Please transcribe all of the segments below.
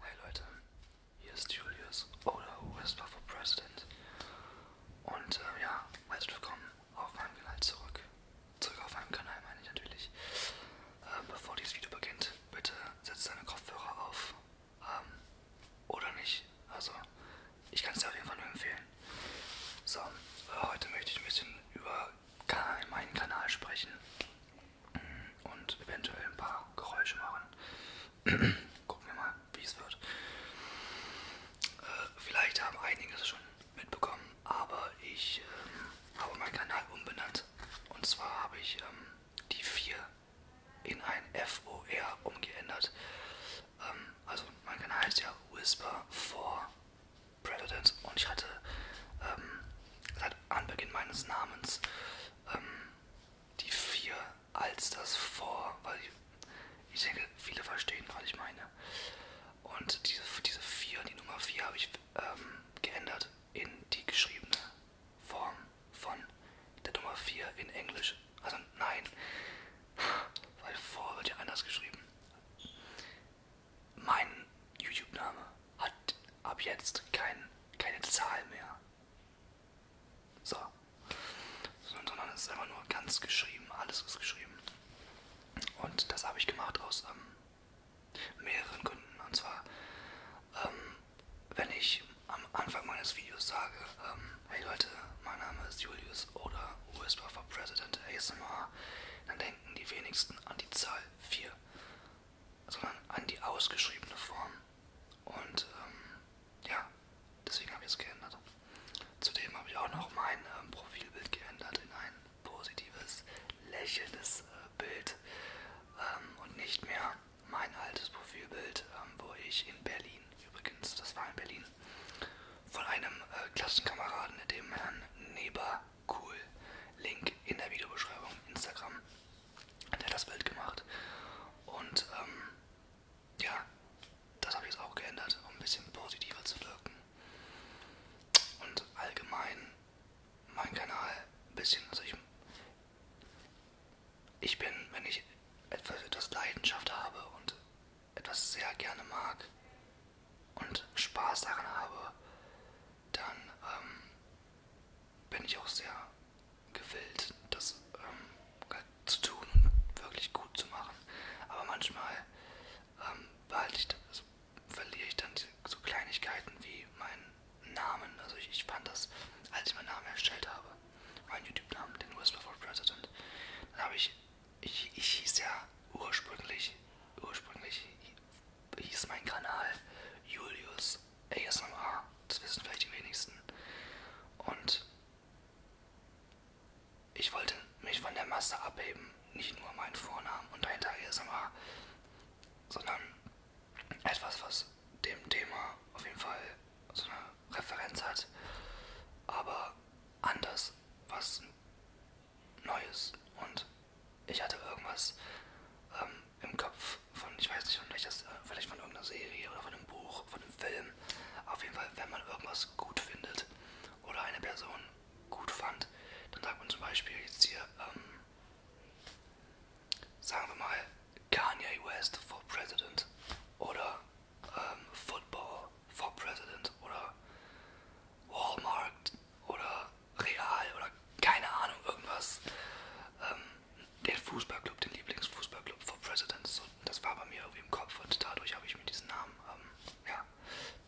Hey Leute, hier ist Julius oder Whisper for President und äh, ja, herzlich willkommen auf meinem Kanal zurück. Zurück auf meinem Kanal meine ich natürlich. Äh, bevor dieses Video beginnt, bitte setz deine Kopfhörer auf ähm, oder nicht. Also, ich kann es dir auf jeden Fall nur empfehlen. So, äh, heute möchte ich ein bisschen über Kanal, meinen Kanal sprechen und eventuell ein paar Geräusche machen. Gucken wir mal, wie es wird. Äh, vielleicht haben einige das schon mitbekommen, aber ich ähm, habe meinen Kanal umbenannt. Und zwar habe ich ähm, die 4 in ein FOR umgeändert. Ähm, also mein Kanal heißt ja Whisper for Presidents und ich hatte ähm, seit Anbeginn meines Namens ähm, die vier als das vor, weil ich, ich denke, viele verstehen, was ich meine. Und diese, diese vier, die Nummer 4 habe ich ähm, geändert in die geschriebene Form von der Nummer 4 in Englisch. Also nein, weil vor wird ja anders geschrieben mein YouTube-Name hat ab jetzt kein, keine Zahl mehr. So. Sondern es ist einfach nur ganz geschrieben. Alles ist geschrieben. Und das habe ich gemacht aus ähm, mehreren Gründen. Und zwar, ähm, wenn ich am Anfang meines Videos sage, ähm, hey Leute, mein Name ist Julius oder Whisper for President ASMR, dann denken die wenigsten an die Zahl 4 sondern also an die ausgeschriebene Form. Und ähm, ja, deswegen habe ich es geändert. Zudem habe ich auch noch mein ähm, Profilbild geändert in ein positives, lächelndes äh, Bild ähm, und nicht mehr mein altes Profilbild, ähm, wo ich in Berlin, übrigens, das war in Berlin, von einem äh, Klassenkameraden, dem Herrn Neber, cool. Link in der Videobeschreibung, Instagram. Der hat das Bild gemacht. Und ähm, ja, das habe ich jetzt auch geändert, um ein bisschen positiver zu wirken. Und allgemein mein Kanal ein bisschen, also ich, ich bin, wenn ich etwas, etwas Leidenschaft habe und etwas sehr gerne mag und Spaß daran habe, dann ähm, bin ich auch sehr gewillt, das ähm, halt zu tun und wirklich gut zu machen. Aber manchmal ähm, behalte ich, also verliere ich dann so Kleinigkeiten wie meinen Namen. Also ich, ich fand das, als ich meinen Namen erstellt habe, meinen YouTube-Namen, den Whisper for President, dann habe ich, ich, ich hieß ja ursprünglich, ursprünglich hieß mein Kanal Julius ASMR. Das wissen vielleicht die wenigsten. Und ich wollte mich von der Masse abheben. Nicht nur meinen Vornamen und dahinter ASMR, sondern etwas, was dem Thema auf jeden Fall so eine Referenz hat, aber anders, was Neues und ich hatte irgendwas ähm, im Kopf von, ich weiß nicht, von vielleicht, das, äh, vielleicht von irgendeiner Serie oder von einem Buch, von einem Film. Auf jeden Fall, wenn man irgendwas gut findet oder eine Person gut fand, dann sagt man zum Beispiel jetzt hier, ähm, sagen wir mal, Kanye West for President oder ähm, Football for President oder Walmart oder Real oder keine Ahnung, irgendwas. Ähm, den Fußballclub, den Lieblingsfußballclub for Presidents. So, das war bei mir irgendwie im Kopf und dadurch habe ich mir diesen Namen ähm, ja,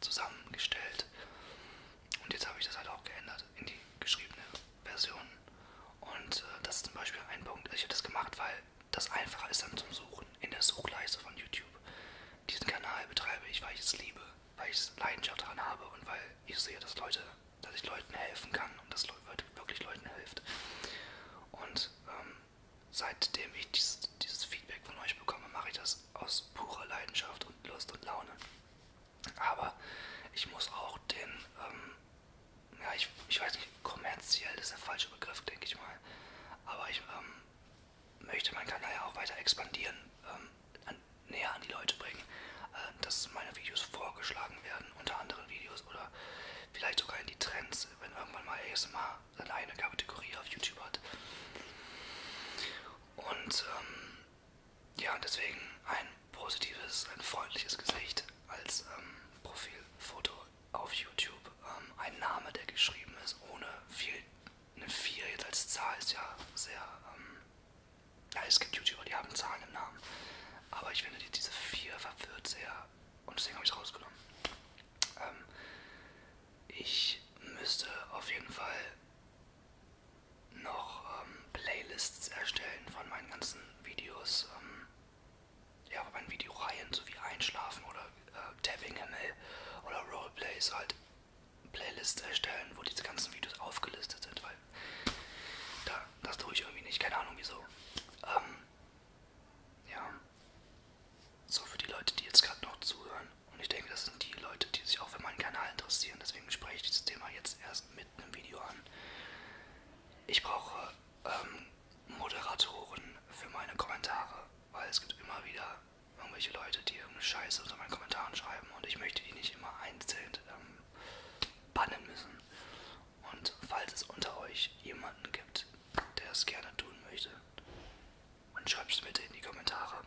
zusammengestellt. Und jetzt habe ich das halt auch geändert in die geschriebene Version. Und äh, das ist zum Beispiel ein Punkt. Also ich habe das gemacht, weil das einfacher ist dann zum Suchen in der Suchleiste von YouTube. Diesen Kanal betreibe ich, weil ich es liebe, weil ich Leidenschaft daran habe und weil ich sehe, dass Leute dass ich Leuten helfen kann und das wirklich Leuten hilft. Und ähm, seitdem ich dieses, dieses Feedback von euch bekomme, mache ich das aus purer Leidenschaft und Lust und Laune. Aber ich muss auch den, ähm, ja, ich, ich weiß nicht, kommerziell ist der falsche Begriff, denke ich mal. Aber ich ähm, möchte meinen Kanal ja auch weiter expandieren. Ähm, an, näher an die Leute bringen, äh, dass meine Videos vorgeschlagen werden unter anderen Videos oder vielleicht sogar in die Trends, wenn irgendwann mal ASMR seine eigene Kategorie auf YouTube hat. Und ähm, ja, deswegen ein positives, ein freundliches Gesicht als ähm, Profilfoto auf YouTube. Ähm, ein Name, der geschrieben ist, ohne viel, eine 4 jetzt als Zahl ist ja sehr ähm, ja, es gibt YouTuber, die haben Zahlen im Namen. Aber ich finde, die, diese 4 verwirrt sehr. Und deswegen habe ich es rausgenommen. Ähm, ich müsste auf jeden Fall noch ähm, Playlists erstellen von meinen ganzen Videos. Ähm, ja, von meinen Videoreihen, so wie Einschlafen oder äh, Tapping Himmel oder Roleplays halt Playlist erstellen, wo diese ganzen Videos aufgelistet sind, weil da, das tue ich irgendwie nicht, keine Ahnung wieso. Ähm, ja, so für die Leute, die jetzt gerade noch zuhören. Und ich denke, das sind die Leute, die sich auch für meinen Kanal interessieren. Deswegen spreche ich dieses Thema jetzt erst mit einem Video an. Ich brauche ähm, Moderatoren für meine Kommentare, weil es gibt immer wieder irgendwelche Leute, die irgendeine Scheiße unter meinen Kommentaren schreiben und ich möchte die nicht immer einzeln ähm, bannen müssen. Und falls es unter euch jemanden gibt, der es gerne tun möchte, dann schreibt es bitte in die Kommentare.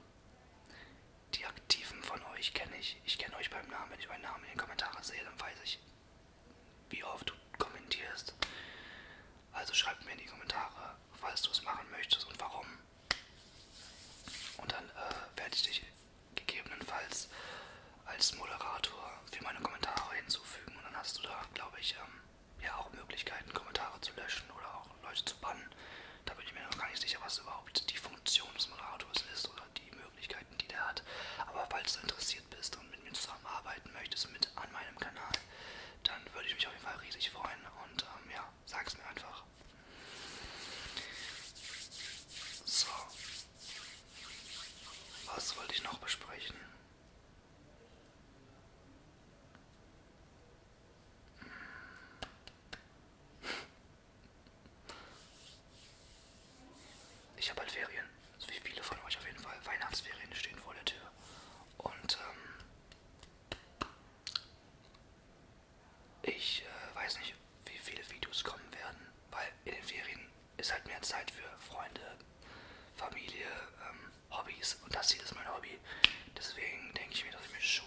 Die Aktiven von euch kenne ich. Ich kenne euch beim Namen. Wenn ich euren Namen in den Kommentaren sehe, dann weiß ich, wie oft du kommentierst. Also schreibt mir in die Kommentare, falls du es machen möchtest und warum. Und dann äh, werde ich dich gegebenenfalls als Moderator für meine Kommentare hinzufügen. Und dann hast du da, glaube ich, ähm, ja auch Möglichkeiten, Kommentare zu löschen oder auch Leute zu bannen. Da bin ich mir noch gar nicht sicher, was überhaupt die Funktion des Moderators ist oder die Möglichkeiten, die der hat. Aber falls du interessiert bist und mit mir zusammenarbeiten möchtest, mit an meinem Kanal, dann würde ich mich auf jeden Fall riesig freuen. Und ähm, ja, sag's mir einfach. So. Was wollte ich noch besprechen? Hm. Ich habe halt Ferien, so also wie viele von euch auf jeden Fall. Weihnachtsferien stehen vor der Tür. Und ähm, ich äh, weiß nicht, wie viele Videos kommen werden, weil in den Ferien ist halt mehr Zeit für Freunde, Familie, ähm, Hobbys und das hier ist mein Hobby. Deswegen denke ich mir, dass ich mir schon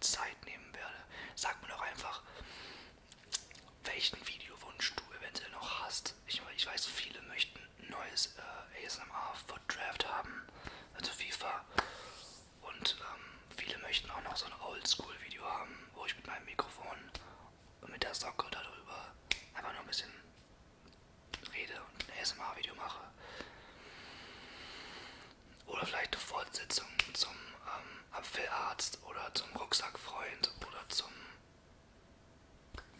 Zeit nehmen werde. Sag mir doch einfach, welchen Videowunsch du eventuell noch hast. Ich, ich weiß, viele möchten ein neues äh, ASMR Foot Draft haben, also FIFA. Und ähm, viele möchten auch noch so ein Oldschool-Video haben, wo ich mit meinem Mikrofon mit der Socke darüber einfach nur ein bisschen rede und ein ASMR-Video mache. Oder vielleicht eine Fortsetzung zum ähm, Apfelarzt oder zum Rucksackfreund oder zum.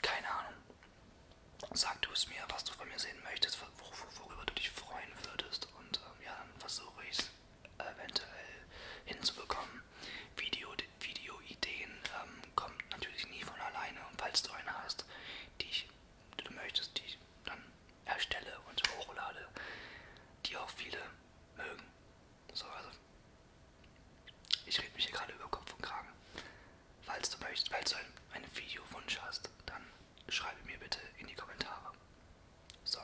keine Ahnung. Sag du es mir, was du von mir sehen möchtest, worüber du dich freuen würdest. Und ähm, ja, dann versuche ich es eventuell hinzubekommen. Video, Videoideen ähm, kommen natürlich nie von alleine und falls du eine hast, die, ich, die du möchtest, die ich dann erstelle und hochlade, die auch viele mögen. So, also ich rede mich hier gerade über Kopf und Kragen. Falls du möchtest, falls du einen, einen Videowunsch hast, dann schreibe mir bitte in die Kommentare. So.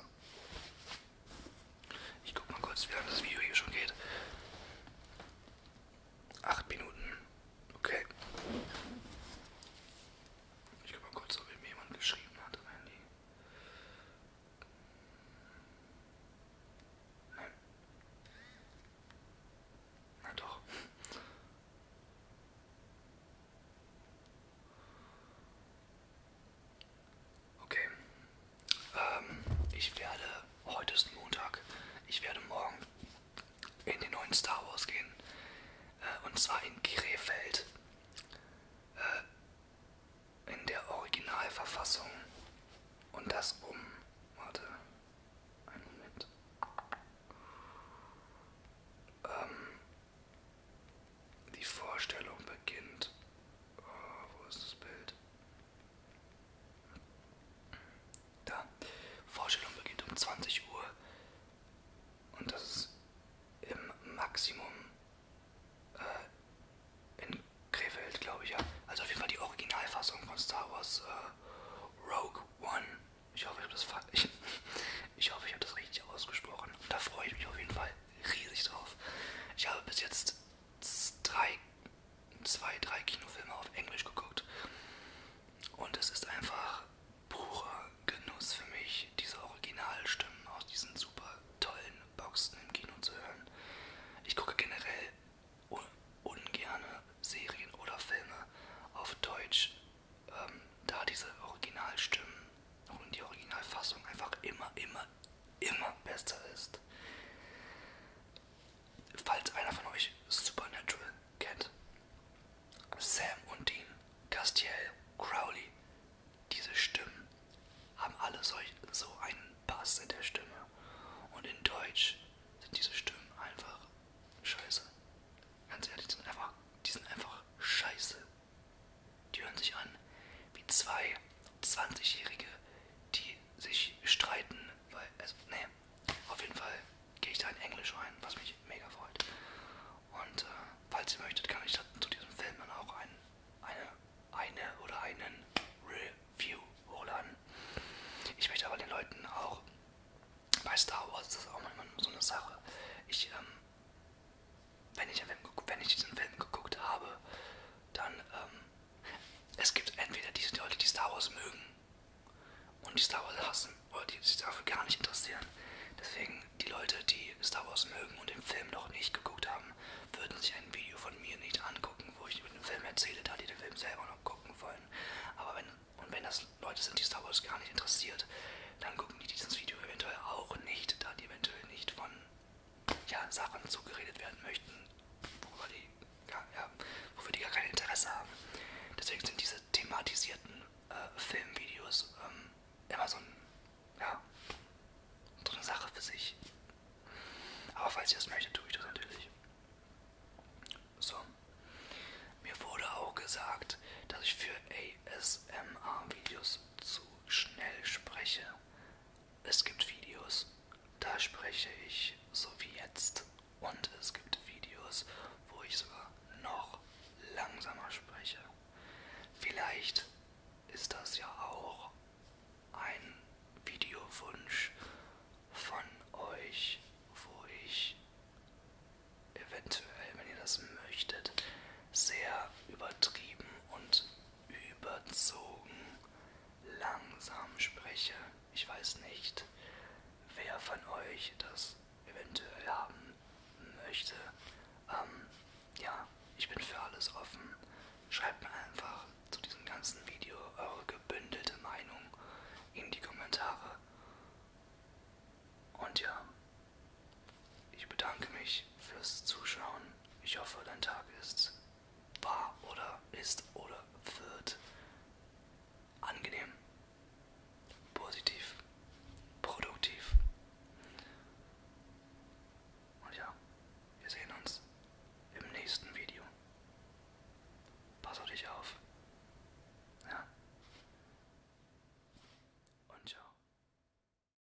Ich guck mal kurz, wie lange das Video hier schon geht. Acht Minuten. Okay. Ich guck mal kurz, ob mir jemand geschrieben hat am Handy. Nein. Na doch. Okay. Ähm, ich werde, heute ist Montag, ich werde morgen in den neuen Star Wars gehen. Äh, und zwar in Krefeld. Äh, in der Originalverfassung. Und das um. Warte. Einen Moment. Ähm, die Vorstellung beginnt. Oh, wo ist das Bild? Da. Vorstellung beginnt um 20 Uhr. Und das ist im Maximum äh, in Krefeld, glaube ich, ja. Also auf jeden Fall die Originalfassung von Star Wars äh, Rogue One. Ich hoffe, ich habe das, ich, ich hab das richtig ausgesprochen. Da freue ich mich auf jeden Fall riesig drauf. Ich habe bis jetzt drei, zwei, drei Kinofilme auf Englisch geguckt. Und es ist einfach purer Genuss für mich, diese Originalstimmen aus diesen super tollen Boxen im Kino zu hören. Ich gucke generell un ungerne Serien oder Filme auf Deutsch, ähm, da diese Originalstimmen und die Originalfassung einfach immer, immer, immer besser ist. Falls einer von euch Supernatural kennt, Sam und Dean, Castiel, Crowley, diese Stimmen haben alle solch, so einen Bass in der Stimme. Und in Deutsch sind diese Stimmen einfach scheiße. Ganz ehrlich, die sind einfach, die sind einfach scheiße. Die hören sich an wie zwei 20-Jährige, die sich streiten, weil, also, nee, auf jeden Fall gehe ich da in Englisch rein, was mich mega freut. Und äh, falls ihr möchtet, kann ich zu diesem Film dann auch ein, eine, eine oder einen Review holen. Ich möchte aber den Leuten auch, bei Star Wars das ist das auch immer so eine Sache, ich ähm, wenn ich, wenn ich diesen Film geguckt habe, dann ähm, es gibt entweder diese Leute, die Star Wars mögen und die Star Wars hassen oder die sich dafür gar nicht interessieren. Deswegen die Leute, die Star Wars mögen und den Film noch nicht geguckt haben, würden sich ein Video von mir nicht angucken, wo ich über den Film erzähle, da die den Film selber noch gucken wollen. Aber wenn und wenn das Leute sind, die Star Wars gar nicht interessiert, dann gucken die dieses Video eventuell auch nicht, da die eventuell nicht von ja, Sachen zugeredet werden möchten, worüber die, ja, ja, wofür die gar kein Interesse haben. Deswegen sind diese thematisierten äh, Filmvideos ähm, immer so, ein, ja, so eine Sache für sich. Aber falls ihr das möchtet, tue ich das natürlich. So. Mir wurde auch gesagt, dass ich für ASMR-Videos zu schnell spreche. Es gibt Videos, da spreche ich so wie jetzt. Und es gibt Videos, wo ich sogar noch langsamer spreche. Vielleicht ist das ja auch ein Videowunsch von euch, wo ich eventuell, wenn ihr das möchtet, sehr übertrieben und überzogen langsam spreche. Ich weiß nicht, wer von euch das eventuell haben möchte. Ähm, ja, ich bin für alles offen. Schreibt mir einfach zu diesem ganzen Video eure gebündelte Meinung in die Kommentare. Und ja, ich bedanke mich fürs Zuschauen. Ich hoffe, dein Tag ist war oder ist oder wird angenehm, positiv, produktiv. Und ja, wir sehen uns im nächsten Video. Pass auf dich auf. Ja. Und ciao.